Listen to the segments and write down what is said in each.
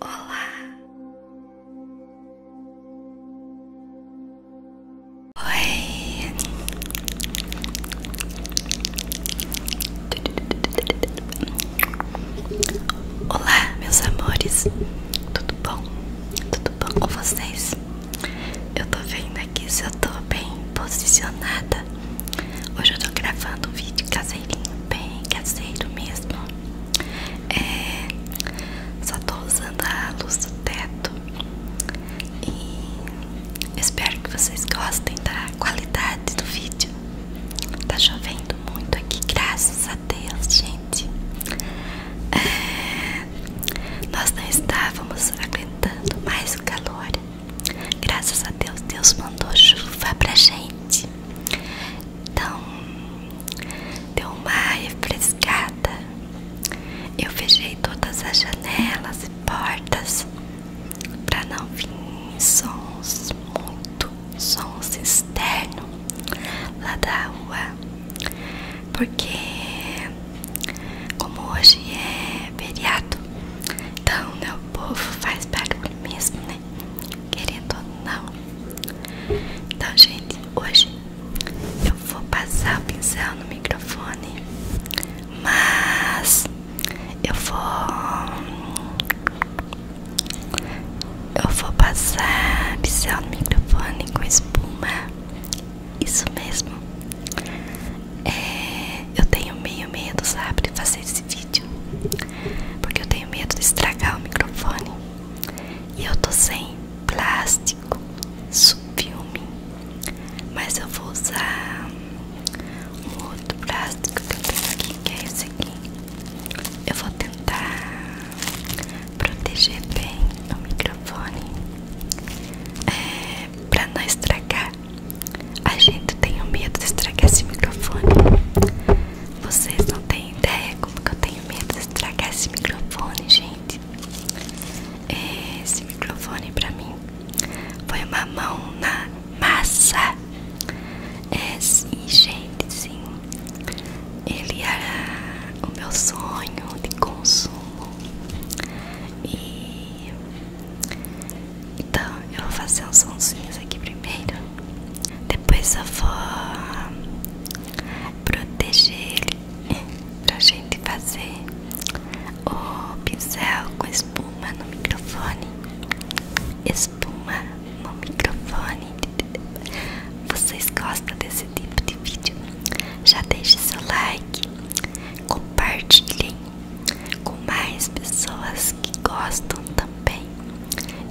Olá. Oi. Olá, meus amores. Tudo bom? Tudo bom com vocês? Eu tô vendo aqui se eu tô bem posicionada. Hoje eu tô gravando um vídeo caseirinho, bem caseiro mesmo. É, só tô usando a luz do teto e espero que vocês gostem da qualidade do vídeo. Tá chovendo muito aqui, graças a Deus, gente. É, nós não estávamos aguentando mais o calor. Graças a Deus, Deus mandou chuva pra gente. Então, deu uma refrescada. Eu fechei todas as janelas e portas para não vir sons, muito sons externos lá da rua, porque como hoje é feriado, então meu povo faz barulho mesmo, né? Querendo ou não. Então, gente, hoje eu vou passar o pincel no microfone, mas eu vou eu vou passar pincel no microfone com espuma. Isso mesmo. É, eu tenho meio medo, sabe, de fazer esse vídeo porque eu tenho medo de estragar o microfone e eu tô sem plástico filme mas eu vou usar um outro plástico que eu tenho aqui que é esse aqui eu vou tentar proteger bem o microfone é, para não estragar a gente tem medo de estragar esse microfone vocês não têm ideia como que eu tenho medo de estragar esse microfone, gente. Esse microfone pra mim foi uma mão na massa. É sim, gente, sim. Ele era o meu sonho de consumo. E então eu vou fazer uns sonzinhos aqui primeiro Depois eu vou proteger ele né? Pra gente fazer o pincel com espuma no microfone Espuma no microfone Vocês gostam desse tipo de vídeo? Já deixe seu like compartilhe com mais pessoas que gostam também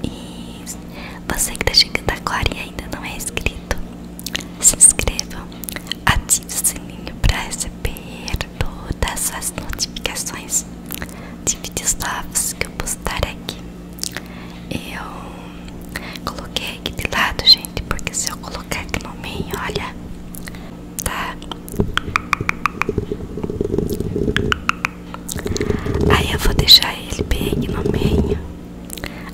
e você que está chegando agora e ainda não é inscrito, se inscreva, ative o sininho para receber todas as notificações de vídeos novos que eu postar aqui. Eu coloquei aqui de lado, gente, porque se eu colocar aqui no meio, olha, tá? Aí eu vou deixar ele bem no meio.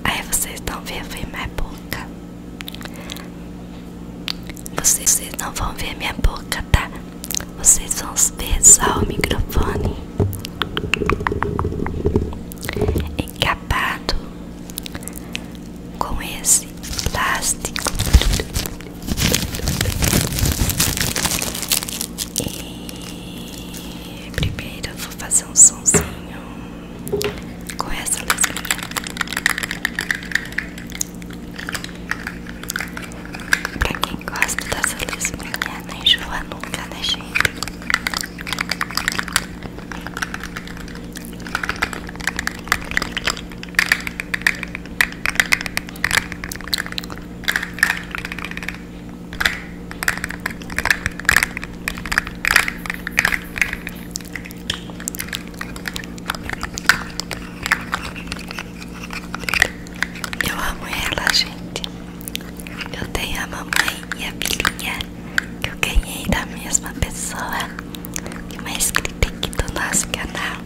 Aí vocês não vão ver minha boca. Vocês, não vão ver minha boca, tá? Vocês vão ver só o microfone. Encapado com esse plástico e primeiro eu vou fazer um sonzinho com essa luzinha. Pra quem gosta dessa luzinha, não né, enjoa nunca, né, gente? Eu amo ela, gente. Eu tenho a mamãe e a filhinha que eu ganhei da mesma pessoa, que uma inscrita aqui do nosso canal.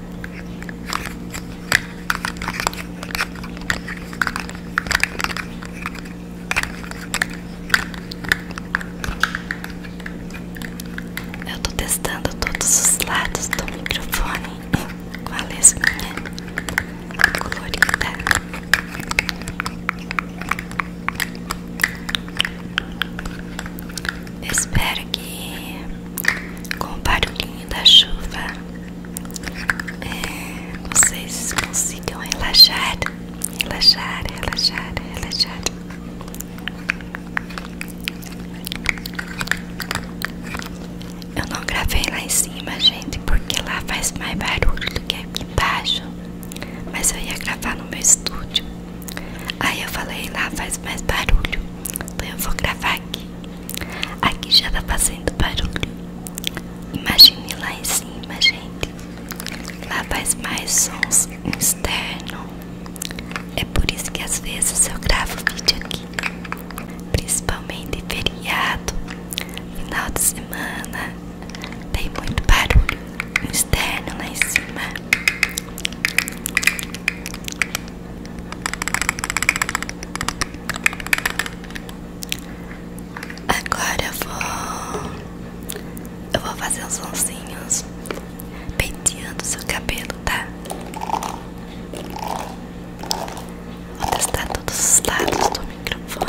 Eu estou testando todos os lados do microfone com a lesminha colorida. Espero que com o barulhinho da chuva, é, vocês consigam relaxar, relaxar, relaxar, relaxar. Eu não gravei lá em cima, gente, porque lá faz mais barulho do que aqui embaixo. Mas eu ia gravar no meu estúdio. Aí eu falei, lá faz mais barulho. Então eu vou gravar aqui. Aqui já tá fazendo barulho. Imagine lá em cima, gente. Lá faz mais sons externo. É por isso que às vezes eu gravo vídeo aqui. Principalmente feriado, final de semana. Tem muito barulho externo lá em cima. Agora eu vou eu vou fazer os oncinhos penteando seu cabelo, tá? Vou testar todos os lados do microfone.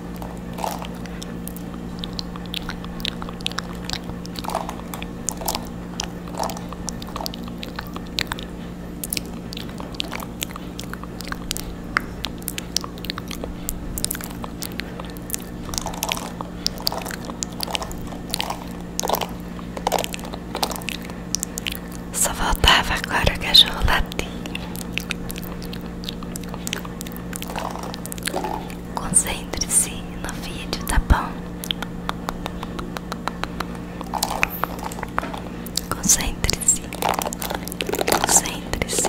Só voltava agora que cachorro latir. Concentre-se no vídeo, tá Tapão. concentre-se. Concentre-se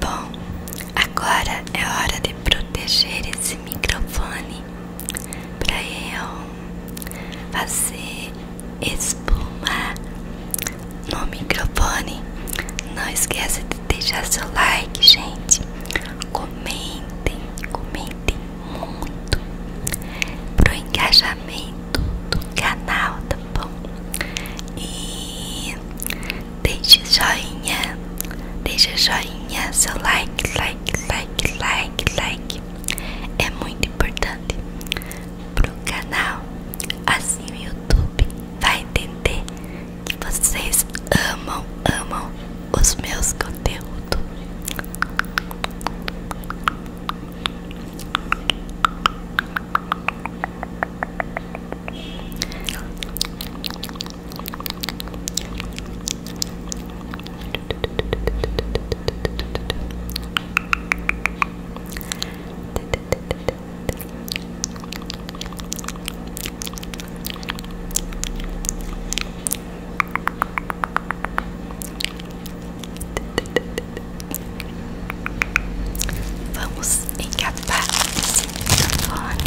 Bom, agora é hora de proteger esse microfone para eu fazer espuma no microfone. Não esqueça de deixar seu like, gente. Comentem, comentem muito pro engajamento do canal, tá bom? E deixe joinha, deixa joinha, seu like, like, like, like, like. É muito importante pro canal. Assim o YouTube vai entender vocês amam, amam os meus conteúdos. Vamos encapar esse microfone.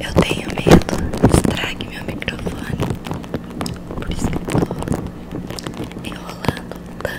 Eu tenho medo estrague meu microfone Por isso que eu enrolando tanto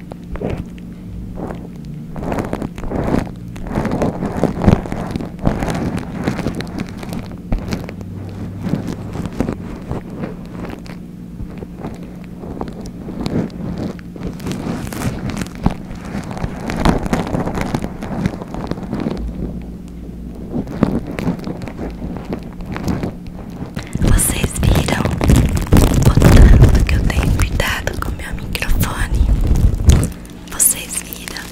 Vocês viram o tanto que eu tenho cuidado com meu microfone, vocês viram?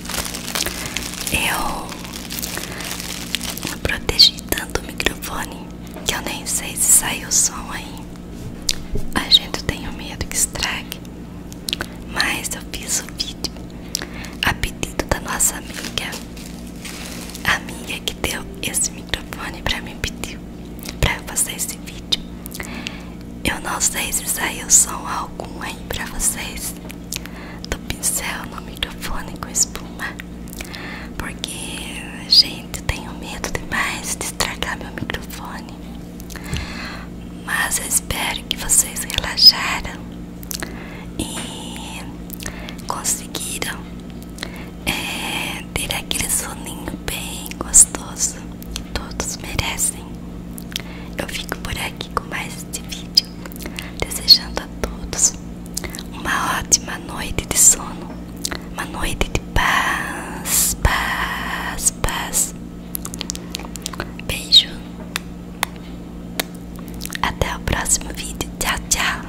Eu protegi tanto o microfone que eu nem sei se saiu o som aí. A gente tem o medo que estrague, mas eu fiz o vídeo a pedido da nossa amiga, a amiga que deu esse microfone pra mim pediu para fazer esse vídeo. Eu não sei se saiu som algum aí para vocês do pincel no microfone com espuma, porque, gente, tenho medo demais de estragar meu microfone. Mas eu espero que vocês relaxaram e conseguiram é, ter aquele soninho bem gostoso todos merecem. Eu fico por aqui com mais este vídeo, desejando a todos uma ótima noite de sono, uma noite de paz, paz, paz. Beijo. Até o próximo vídeo. Tchau, tchau.